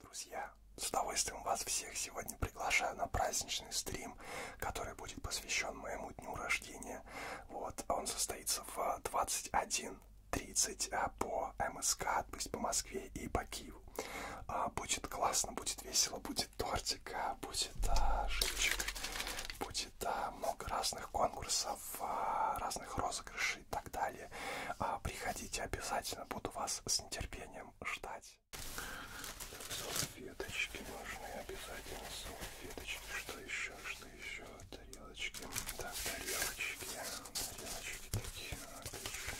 Друзья, с удовольствием вас всех сегодня приглашаю на праздничный стрим, который будет посвящен моему дню рождения. Вот, он состоится в 21.30 а, по МСК, то есть по Москве и по Киеву. А, будет классно, будет весело, будет тортик, а, будет шипчик, будет участвовать. Да, много разных конкурсов, а, разных розыгрышей и так далее. А, приходите обязательно, буду вас с нетерпением ждать. Так, салфеточки нужны обязательно, салфеточки, что еще, что еще, тарелочки, да, тарелочки, тарелочки такие, отлично,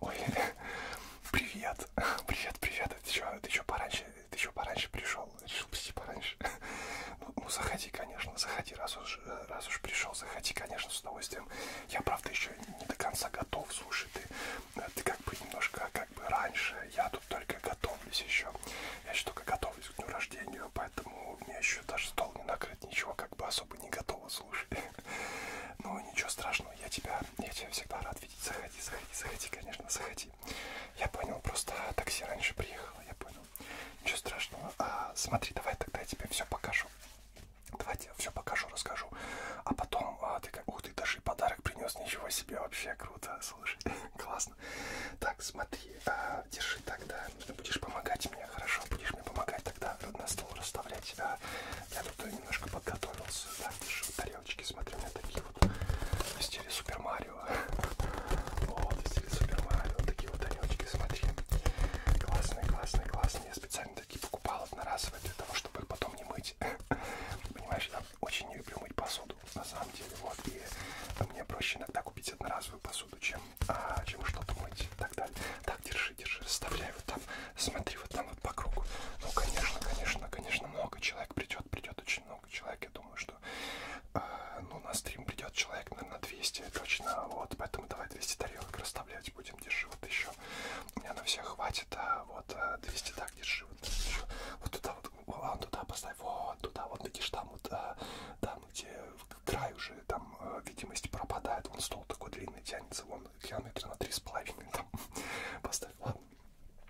Ой, привет, привет, привет, ты что, ты что пораньше ты еще пораньше пришел, решил прийти пораньше. Ну, ну, заходи, конечно, заходи, раз уж, э, раз уж пришел, заходи, конечно, с удовольствием. Я, правда, еще не до конца готов, слушай, ты, э, ты как бы немножко, как бы раньше, я тут только готовлюсь еще. Я еще только готовлюсь к дню рождения, поэтому у меня еще даже стол не накрыт, ничего как бы особо не готово, слушай. Ну, ничего страшного, я тебя, я тебя всегда рад видеть, заходи, заходи, заходи, конечно, заходи такси. Я понял, просто такси раньше приехало, я понял. Ничего страшного. А, смотри, давай тогда я тебе все покажу. Давай я тебе все покажу, расскажу. А потом а, ты как... Ух ты, даже и подарок принес, ничего себе, вообще круто, слушай, классно. Так, смотри, а, держи тогда. Ты будешь помогать мне, хорошо? Будешь мне помогать тогда на стол расставлять. А, я тут немножко подготовился, да, держи вот тарелочки, смотри, у меня такие вот в стиле Супер Марио. Вот, стиль Супер Марио. Такие вот огонечки, смотри. Классные, классные, классные. Я специально такие покупал одноразовые для того, чтобы их потом не мыть. Понимаешь, я очень не люблю мыть посуду, на самом деле. Вот, и ну, мне проще иногда купить одноразовую посуду, чем, а, чем что-то мыть и так далее. Так, держи, держи, расставляй вот там, смотри, вот там вот по кругу. Ну, конечно, конечно, конечно, много человек придет, придет очень много человек, я думаю, что что э, ну, на стрим придет человек, наверное, 200 точно, вот, поэтому давай 200 тарелок расставлять будем, держи, вот еще, у меня на всех хватит, а вот 200, а, так, держи, вот, еще, вот туда, вот, вон а, ну туда поставь, вот туда, вот, видишь, там вот, там, где край уже, там, видимость пропадает, вон стол такой длинный тянется, вон, километр на три с половиной, там, поставь, ладно.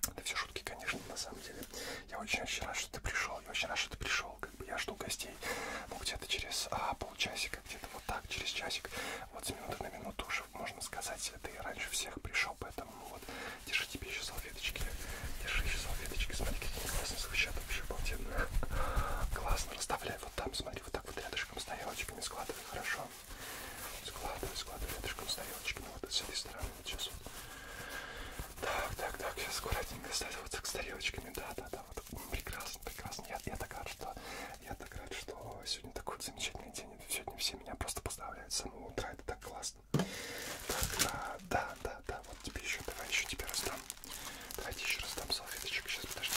Это все шутки, конечно, на самом деле. Я очень-очень рад, что ты пришел. Я очень рад, что ты пришел. Как бы я жду гостей. Ну, где-то через а, полчасика, где-то вот так, через часик. Вот с минуты на минуту уже, можно сказать, ты раньше всех пришел. Поэтому ну, вот, держи тебе еще салфеточки. Держи еще салфеточки. Смотри, какие они классные звучат. Вообще обалденно. Классно. Расставляй вот там, смотри, вот так вот рядышком с тарелочками складывай. Хорошо. Складывай, складывай рядышком с тарелочками. Вот с этой стороны. Вот сейчас вот. Так, так, так, сейчас аккуратненько ставь вот с тарелочками. Да, да, да, вот прекрасно, прекрасно. Я, я так рад, что я так рад, что сегодня такой вот замечательный день. Сегодня все меня просто поздравляют с самого утра. Это так классно. Так, а, да, да, да, вот тебе еще, давай еще тебе раздам. Давайте еще раз дам салфеточек. Сейчас, подожди.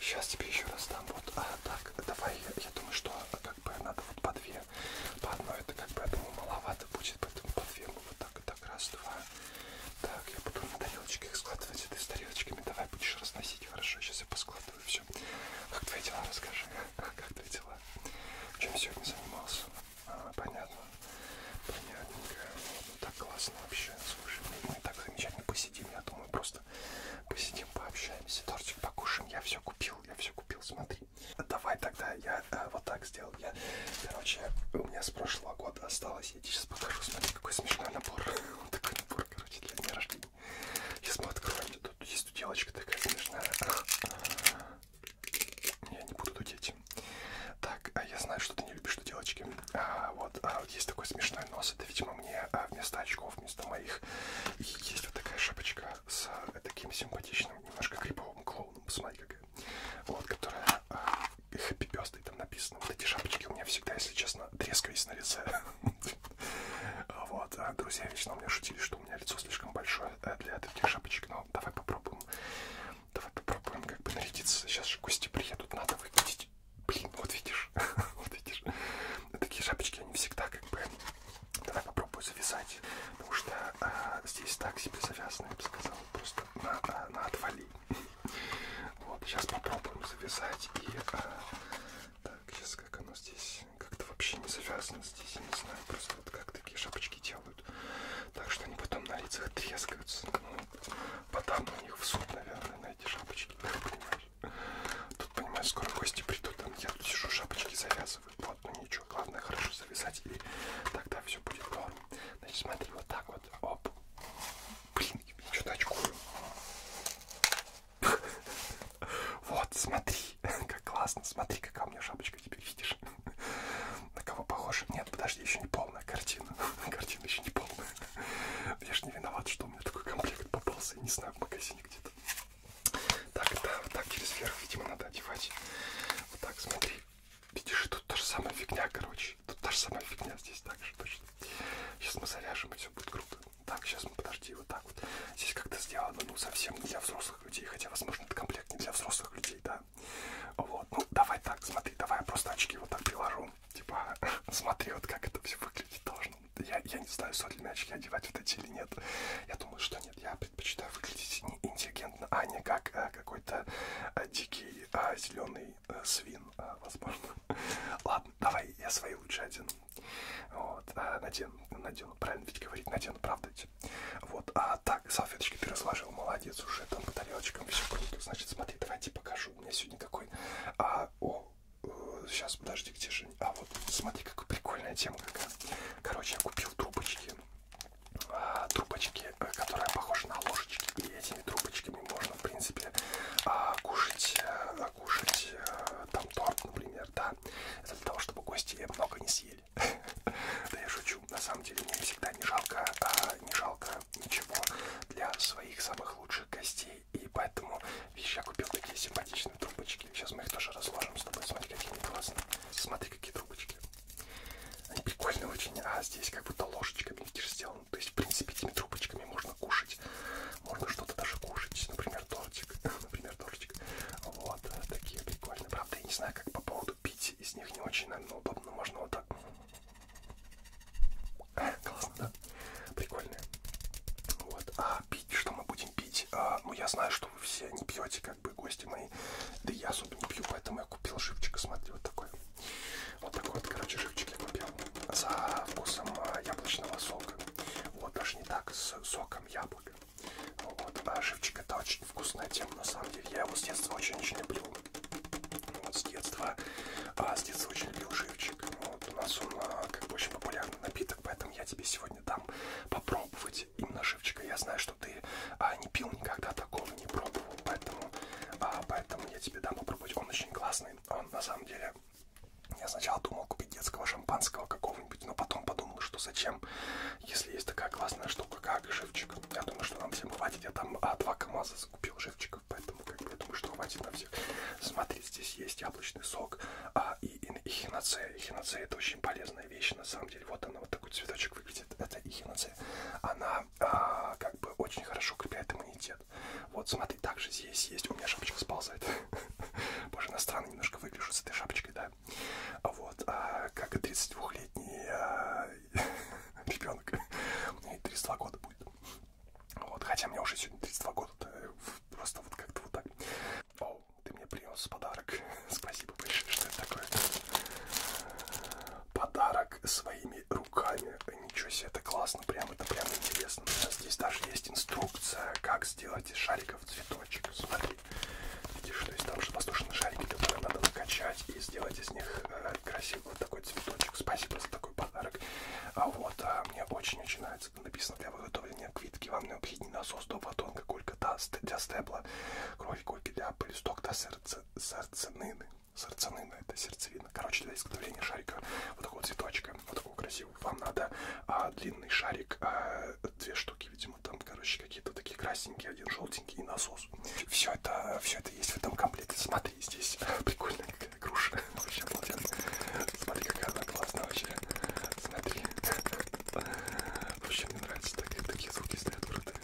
Сейчас тебе еще раз дам. Вот, а, так, давай, я, я думаю, что а, как бы надо вот по две две. По одной это как бы, я думаю, маловато будет, поэтому по две мы вот так и вот так раз, два. Так, я буду на тарелочке их складывать, это с тарелочками. Давай будешь разносить, хорошо, сейчас я поскладываю все. Как твои дела, расскажи, как твои дела? Чем сегодня занимался? А, понятно. Понятненько. Ну, так классно вообще. Слушай, мы так замечательно посидим, я думаю, просто посидим, пообщаемся. Тортик покушаем. Я все купил, я все купил, смотри. Давай тогда я а, вот так сделал. Я, короче, у меня с прошлого года осталось. Я тебе сейчас покажу, смотри, какой смешной набор. Вот такой набор, короче, для дня рождения. Сейчас мы откроем. Тут есть девочка такая смешная. Я не буду дудеть. Так, а я знаю, что ты не любишь туделочки. А, вот, а, вот есть такой смешной нос. Это, видимо, мне а, вместо очков, вместо моих. И есть вот такая шапочка с э, таким симпатичным, немножко криповым клоуном, посмотри, какая. Вот, которая э, хэппи пёстой там написано. Вот эти шапочки у меня всегда, если честно, трескались на лице. Вот, а друзья вечно у меня шутили, что у меня лицо слишком большое э, для таких шапочек, но давай попробуем. Давай попробуем как бы нарядиться. Сейчас же гости приедут, надо выглядеть. Блин, вот видишь, вот видишь. Такие шапочки, они всегда как бы Давай попробую завязать, потому что а, здесь так себе завязано, я бы сказал, просто на, на, на отвали. Вот, сейчас попробуем завязать и... А, так, сейчас как оно здесь, как-то вообще не завязано здесь, я не знаю, просто вот как такие шапочки делают. Так что они потом на лицах трескаются, ну, потом у них в суд, наверное, на эти шапочки, понимаешь? Тут, понимаешь, скоро гости придут, там я тут сижу, шапочки завязываю вот, ну ничего, главное хорошо завязать, и тогда все будет норм. Значит, смотри, вот так вот, оп. Блин, я что-то очкую. Вот, смотри, как классно, смотри, какая у меня шапочка теперь, видишь? На кого похож? Нет, подожди, еще не полная картина. Картина еще не полная. Я ж не виноват, что у меня такой комплект попался, я не знаю, в магазине где-то. Так, да, вот так через верх, видимо, надо одевать. Вот так, смотри. Видишь, тут та же самая фигня, короче. Тут та же самая фигня здесь так же точно. Сейчас мы завяжем, и все будет круто. Так, сейчас мы, ну, подожди, вот так вот. Здесь как-то сделано, ну, совсем не для взрослых людей. Хотя, возможно, это комплект не для взрослых людей, да. Вот, ну, давай так, смотри, давай я просто очки вот так приложу. Типа, смотри, вот как это все выглядит должно. Я, я не знаю, стоит ли мне очки одевать вот эти или нет. Я думаю, что нет. Нет, я предпочитаю выглядеть не интеллигентно, а не как а, какой-то а, дикий а, э, зеленый а, свин, а, возможно. Ладно, давай я свои лучше один. Вот, а, надену, надену, правильно ведь говорить, надену, правда ведь. Вот, а так, салфеточки пересложил, молодец, уже там по тарелочкам все круто. Значит, смотри, давайте покажу. У меня сегодня какой... А, о, сейчас, подожди, где же... А вот, смотри, какая прикольная тема какая. Короче, я купил трубочки эти а, трубочки, э, которые похожи на ложечки, и этими трубочками можно, в принципе, а, кушать, а, кушать а, там торт, например, да, это для того, чтобы гости много не съели. Да я шучу, на самом деле мне всегда не жалко, а, не жалко ничего для своих самых лучших гостей, и поэтому, видишь, я купил такие симпатичные классные трубочки. Сейчас мы их тоже разложим с тобой. Смотри, какие они классные. Смотри, какие трубочки. Они прикольные очень. А здесь как будто ложечками, видишь, сделано. То есть, в принципе, этими трубочками можно кушать. Можно что-то даже кушать. Например, тортик. Например, тортик. Вот. Э, такие прикольные. Правда, я не знаю, как по поводу пить. Из них не очень, наверное, удобно. Можно вот так. Классно, да? Прикольные. Вот. А пить, что мы будем пить. А, ну, я знаю, что вы все не пьете, как бы гости мои. Да я особо не пью, поэтому я купил живчик. Смотри, вот такой. Вот такой вот, короче, живчик я купил. За вкусом а, яблочного сока. Вот, даже не так, с соком яблока. Ну вот, а живчик это очень вкусная тема, на самом деле. Я его с детства очень-очень люблю. Ну вот, с детства. А, с детства очень люблю живчик. Ну вот, у нас он а, как бы очень популярный напиток, поэтому я тебе сегодня дам попробовать попробовать именно шивчика. Я знаю, что ты а, не пил никогда такого, не пробовал, поэтому, а, поэтому я тебе дам попробовать. Он очень классный. Он на самом деле... Я сначала думал купить детского шампанского какого-нибудь, но потом подумал, что зачем, если есть такая классная штука, как живчик. Я думаю, что нам всем хватит. Я там а, два КАМАЗа закупил живчиков, поэтому как бы, я думаю, что хватит на всех. Смотри, здесь есть яблочный сок а, и, и, и хиноцея. Хиноцея это очень полезная вещь, на самом деле, вот она, вот такой цветочек выглядит, это ихинация. Она а, как бы очень хорошо укрепляет иммунитет. Вот, смотри, также здесь есть, у меня шапочка сползает. Боже, иностранно немножко выгляжу с этой шапочкой, да. Вот, а, как и 32-летний а, ребенок. Мне 32 года будет. Вот, хотя мне уже сегодня 32 года, просто вот как-то вот так. Оу, ты мне принес подарок. Спасибо большое, что это такое. Подарок своими руками. Ничего себе, это классно, прям это прям интересно. Здесь даже есть инструкция, как сделать из шариков цветочек. Смотри, видишь, то есть там же воздушные шарики, которые надо накачать и сделать из них э, красивый вот такой цветочек. Спасибо за такой подарок. А вот а, мне очень-очень нравится, написано для выготовления квитки вам необходимо і насос до фотонки кулька та для стебла крові кульки для полісток та серце, серценини. Серцанина это сердцевина. Короче, для изготовления шарика вот такого цветочка, вот такого красивого, вам надо а, длинный шарик, а, две штуки, видимо, там, короче, какие-то такие красненькие, один желтенький и насос. Все это, все это есть в этом комплекте. Смотри, здесь прикольная какая груша. Ну, вообще, молодец. Смотри, какая она классная вообще. Смотри. Вообще мне нравится, так, такие звуки стоят крутые.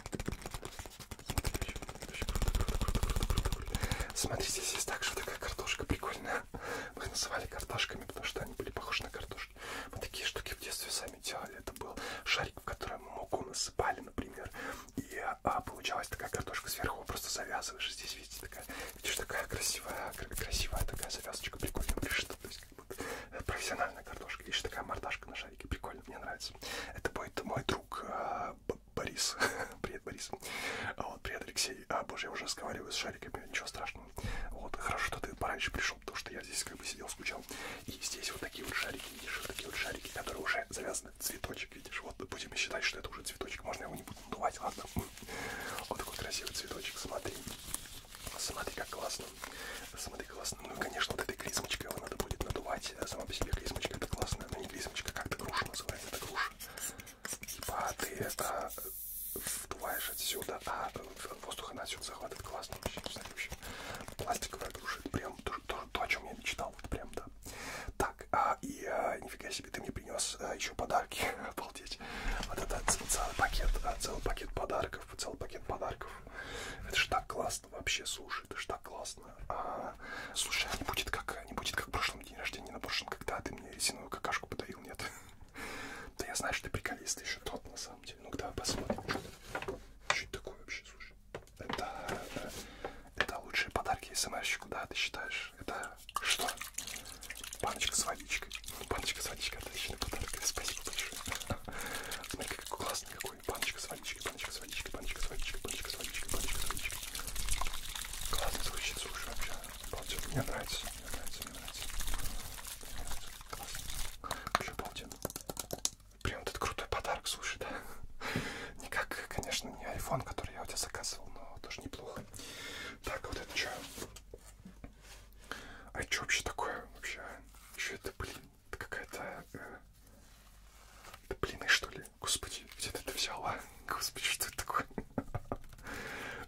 Смотри, еще, круто, круто, круто, круто, круто, круто. Смотрите, здесь есть так, что такая картошка прикольная. Мы их называли картошками, потому что они были похожи на картошки. Мы такие штуки в детстве сами делали. Это был шарик, в который мы муку насыпали, например. И а, получалась такая картошка сверху, просто завязываешь. Здесь, видите, такая, видишь, такая красивая, красивая такая завязочка, прикольная, пришита. То есть, профессиональная картошка. Видишь, такая мордашка на шарике. Прикольно, мне нравится. Это будет мой друг а, Борис. Привет, Борис. Вот, привет, Алексей. А, боже, я уже разговариваю с шариками, ничего страшного. Вот, хорошо, что ты пораньше пришел, потому что я здесь как бы сидел, скучал. И здесь вот такие вот шарики, видишь, вот такие вот шарики, которые уже завязаны. Цветочек, видишь, вот будем считать, что это уже цветочек. Можно его не буду надувать, ладно? Вот такой красивый цветочек, смотри. Смотри, как классно. Смотри, классно. Ну и, конечно, вот этой клизмочкой его надо будет надувать. Э, сама по себе клизмочка это классная. Ну не клизмочка, как-то груша называется. Это груша. Типа а ты это вдуваешь отсюда, а э, воздух она отсюда захватывает. Классно вообще. Смотри, вообще. Пластиковая груша. Это прям то, то, то, о чем я мечтал. Вот прям, да. Так, а, и а, нифига себе, ты мне принес а, еще подарки. Обалдеть. Вот это целый пакет, а, целый пакет подарков, целый пакет подарков. Это ж так классно вообще, слушай, это ж так классно. А, слушай, а не будет как, не будет как в прошлом день рождения, на прошлом, когда ты мне резиновую какашку подарил, нет? Да я знаю, что ты приколист еще тот, на самом деле. Ну, давай посмотрим, что это. Что это такое вообще, слушай? Это, это лучшие подарки СМРщику, да, ты считаешь? Это что? Баночка с водичкой. Баночка с водичкой, отличный подарок. Спасибо большое. Смотри, как классный какой. Баночка с водичкой, баночка с водичкой, баночка с водичкой, баночка с водичкой, баночка с водичкой. Классно звучит, слушай, вообще. Обалденно. Мне нравится, мне нравится, мне нравится. Мне нравится. Классно. Вообще обалденно. Прям этот крутой подарок, слушай, да? Не как, конечно, не iPhone, который я у тебя заказывал, но тоже неплохо. Так, вот это что? А что вообще такое? Вообще, что это, блин? Это какая-то... Э, это блины, что ли? Господи, где ты это взяла? Господи, что это такое?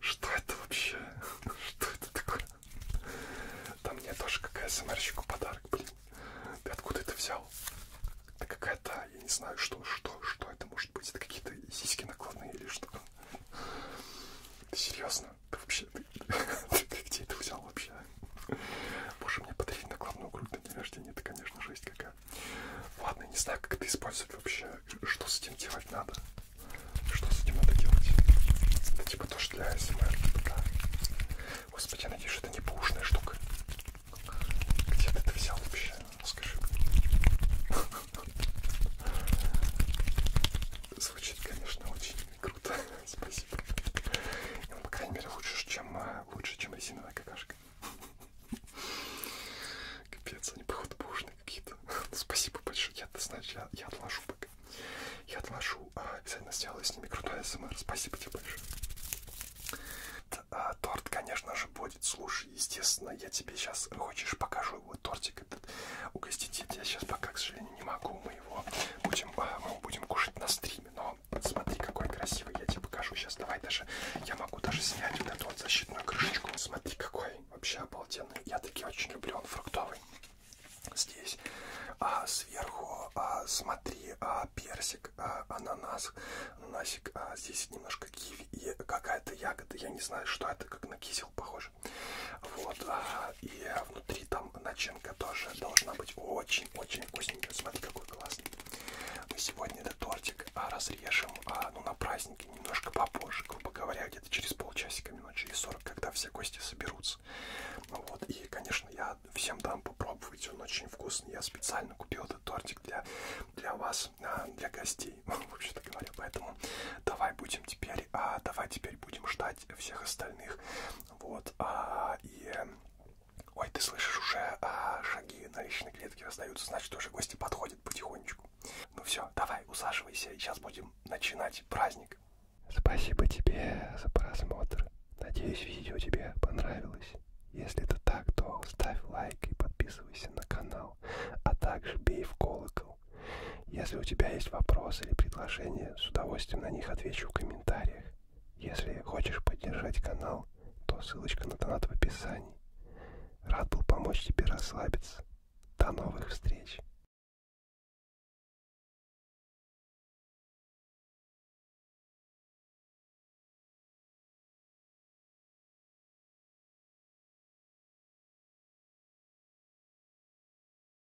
Что это вообще? Что это такое? Да мне тоже какая СМРщику подарок, блин. Ты откуда это взял? Это какая-то, я не знаю, что, что, что это может быть. Это какие-то сиськи накладные или что? Ты серьезно? Ты вообще, ты, ты, ты где это взял вообще? Боже, мне подарить накладную грудь на день рождения, это, конечно, жесть какая. Ладно, не знаю, как это использовать вообще. Что с этим делать надо? Что с этим надо делать? Это типа тоже для СМР, типа, да. Господи, я надеюсь, что это не пушная штука. Где ты это взял вообще? Скажи Звучит, конечно, очень круто. Спасибо. Ну, по крайней мере, лучше, чем, э, лучше, чем резиновая какашка. Капец, они, походу, бушные какие-то. Ну, спасибо большое. Я, ты знаешь, я, я отложу пока. Я отложу. А, обязательно сделаю с ними крутой СМР. Спасибо тебе большое. Т а, торт, конечно же, будет. Слушай, естественно, я тебе сейчас хочешь покажу его тортик этот угостить. Я сейчас пока, к сожалению, не могу мы его будем, а, мы его будем кушать на стриме. Но смотри, какой красивый, я тебе покажу сейчас. Давай даже, я могу даже снять вот эту вот защитную крышечку. Смотри, какой вообще обалденный. Я таки очень люблю, он фруктовый. Здесь а, сверху, а, смотри, а, персик, а, ананас, ананасик, а, здесь немножко киви и какая-то ягода. Я не знаю, что это, как на кизел похоже ешь. Вот, а, и внутри там начинка тоже должна быть очень-очень вкусненькая. Смотри, какой классный. Мы сегодня этот тортик а, разрежем, а, ну, на празднике немножко попозже, грубо говоря, где-то через полчасика, минут через 40, когда все гости соберутся. Вот, и, конечно, я всем дам попробовать, он очень вкусный. Я специально купил этот тортик для, для вас, для гостей, вообще-то говоря. Поэтому давай будем теперь, а давай теперь будем ждать всех остальных. Вот. А, и... Ой, ты слышишь, уже а, шаги на личной клетке раздаются, значит, уже гости подходят потихонечку. Ну все, давай, усаживайся, и сейчас будем начинать праздник. Спасибо тебе за просмотр. Надеюсь, видео тебе понравилось. Если это так, то ставь лайк и подписывайся на канал, а также бей в колокол. Если у тебя есть вопросы или предложения, с удовольствием на них отвечу в комментариях. Если хочешь поддержать канал, то ссылочка на донат в описании. Рад был помочь тебе расслабиться. До новых встреч!